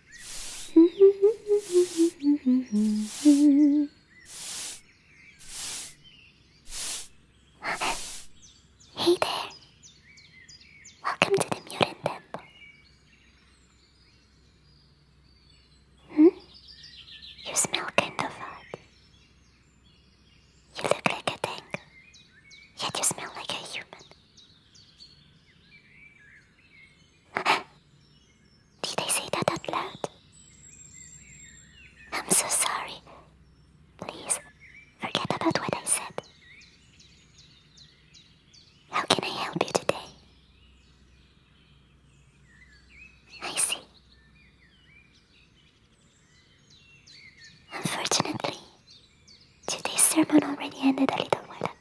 hey there. Welcome to the Mutant Temple. Hmm? You smell kind of odd. You look like a tango, yet you smell like a human. Did I say that out loud? I'm so sorry. Please, forget about what I said. How can I help you today? I see. Unfortunately, today's sermon already ended a little while ago.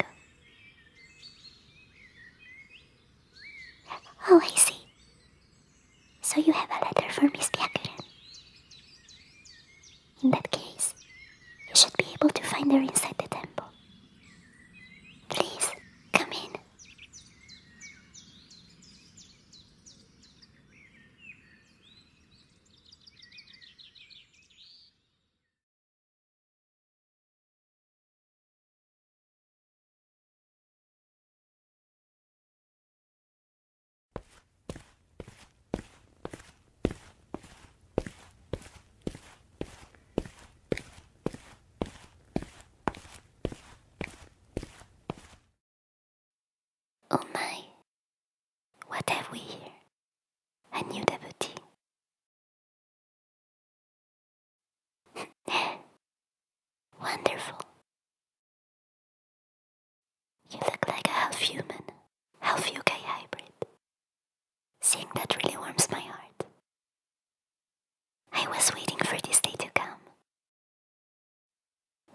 Oh, I see. So you have a letter for Miss Byakurin. In that case, you should be able to find her inside the temple. Please, come in. Oh my, what have we here? A new devotee, Wonderful. You look like a half human, half UK hybrid. Seeing that really warms my heart. I was waiting for this day to come.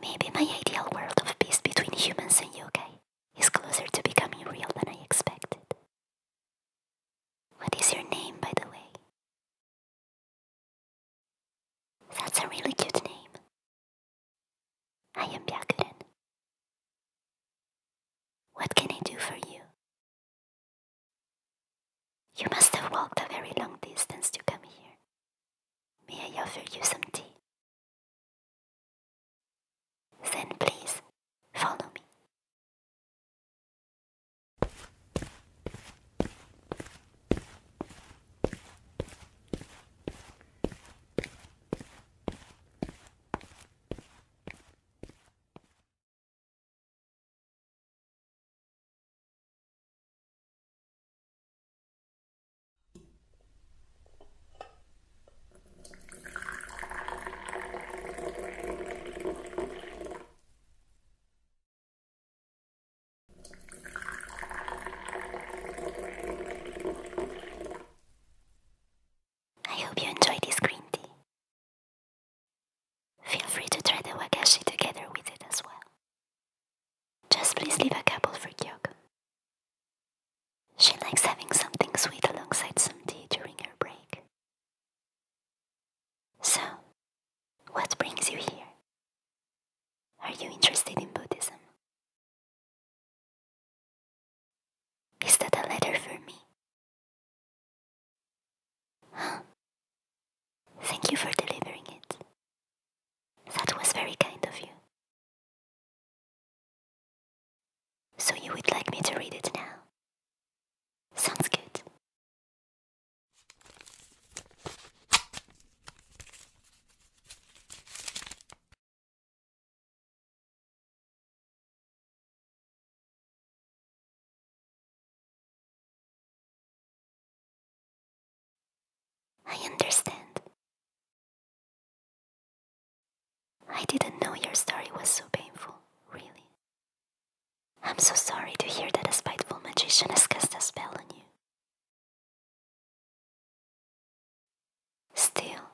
Maybe my ideal world of peace between humans and yokai is closer to becoming real than I expected. What is your name, by the way? That's a really cute name. I am Byakuren. What can I do for you? You must have walked a very long distance to come here. May I offer you some tea? Then please follow me. I hope you enjoy this green tea. Feel free to try the wagashi together with it as well. Just please leave a couple for Kyoko. She likes having something sweet alongside some tea during her break. So, what brings you here? Are you interested in Buddhism? Is that a letter for me? Huh. Thank you for delivering it. That was very kind of you. So you would like me to read it now? Sounds good. I understand. I didn't know your story was so painful, really. I'm so sorry to hear that a spiteful magician has cast a spell on you. Still,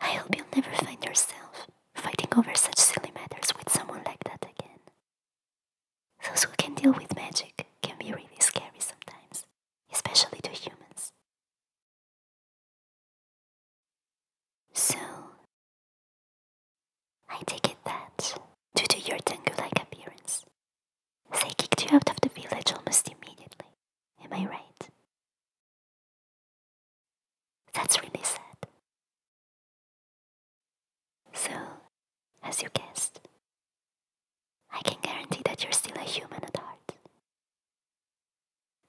I hope you'll never find yourself fighting over such silly matters with someone like that again. Those who can deal with magic can be really scary sometimes, especially to humans. So, I take it that, due to your Tengu like appearance, they kicked you out of the village almost immediately. Am I right? That's really sad. So, as you guessed, I can guarantee that you're still a human at heart,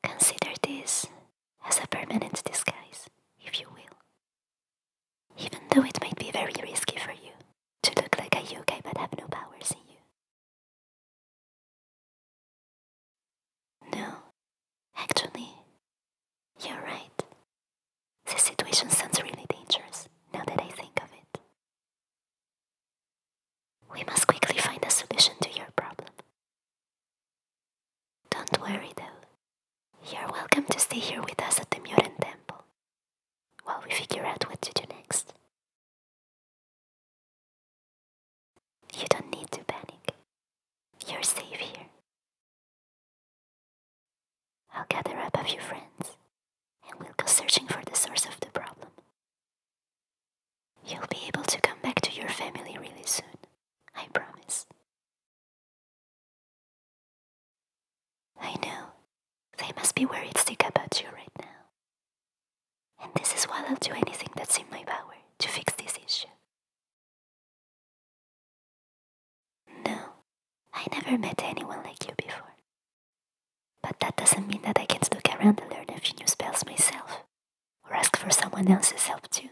Consider this as a permanent disguise, if you will. Even though it might be very risky for you to look like a yokai but have no powers in you. No, actually, you're right. The situation sounds really dangerous now that I think of it. We must quickly find a solution to your problem. Don't worry though, you're welcome to stay here with us at the Muran Temple while we figure out what to do next. You don't need to panic, you're safe here. I'll gather up a few friends and we'll go searching for the source of the problem. You'll be able to come back to your family really soon. I promise. I know. They must be worried sick about you right now. And this is why I'll do anything that's in my power to fix this issue. No, I never met anyone like you before. But that doesn't mean that I can't look around and learn a few new spells myself, or ask for someone else's help too.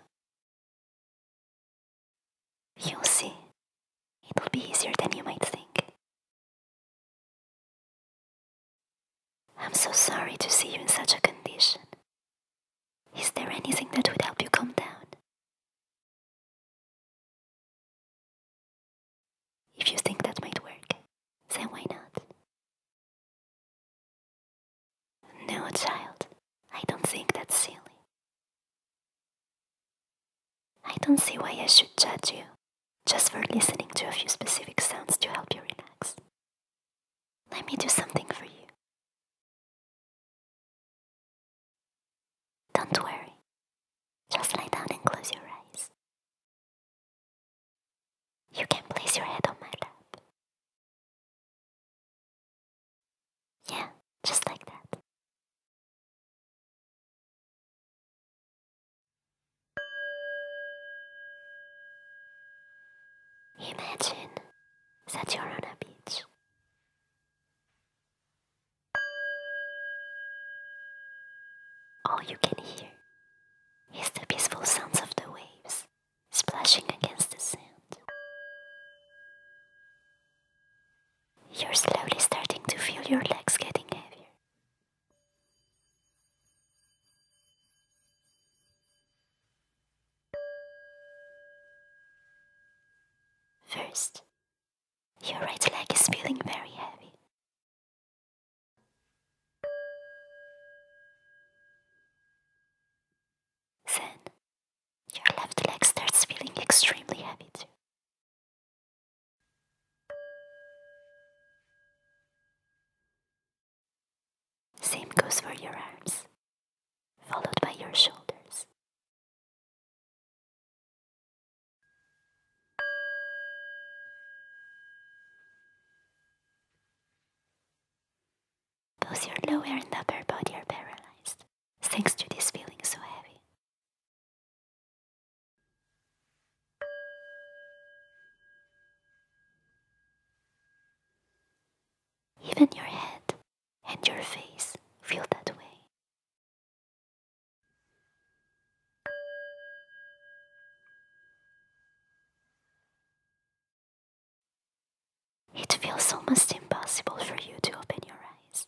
You'll see, it'll be easier than you might think. I'm so sorry to see you in such a condition. Is there anything that would help you calm down? If you think that might work, then why not? No, child, I don't think that's silly. I don't see why I should judge you just for listening to a few specific sounds to help you relax. Let me do something for you. Don't worry, just lie down and close your eyes. You can place your head on my lap yeah, just like that. Imagine that you're on a beach. All you can hear is the peaceful sounds of the waves splashing against the sand. You're slowly starting to feel your legs getting heavier. First, your right leg is feeling very heavy. Then your left leg starts feeling extremely heavy too. Same goes for your arms, followed by your shoulders. Both your lower and upper body are paralyzed, thanks to this feeling so heavy. Even your head and your face feel that way. It feels almost impossible for you to open your eyes.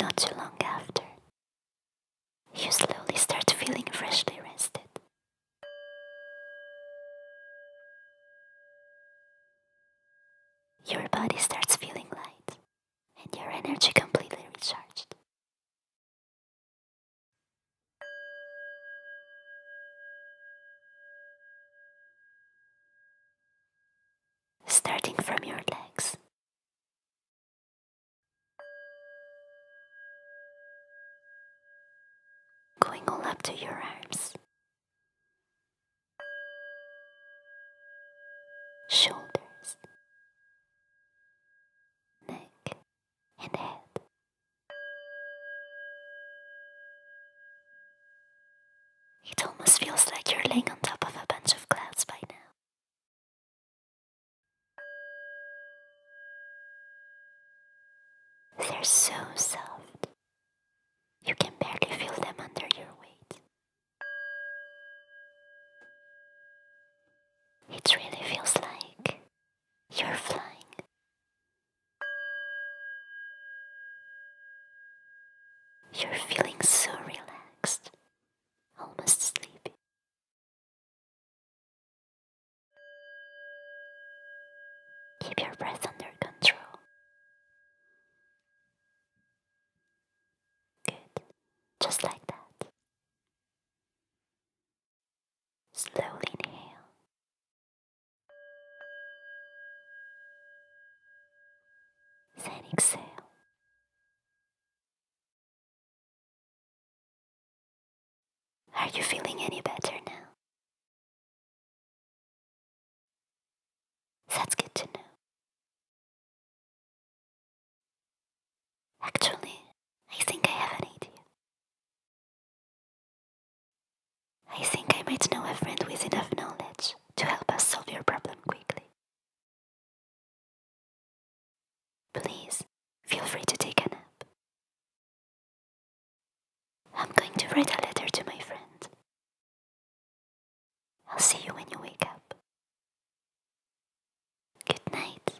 Not too long after, you slowly start feeling freshly rested. Your body starts feeling light and your energy completely recharged. Starting from your legs, Going all up to your arms, shoulders, neck, and head. It almost feels like you're laying on top of a bunch of clouds by now. They're so soft. You can barely feel them under your weight. It really feels like you're flying. You're feeling so relaxed, almost sleepy. Keep your breath under control. Good. Just like that. Slowly inhale. Then exhale. Are you feeling any better now? That's good to know. Actually, I think I have an idea. I think I might know a friend with enough knowledge to help us solve your problem quickly. Please feel free to take a nap. I'm going to write a letter to my friend. I'll see you when you wake up. Good night.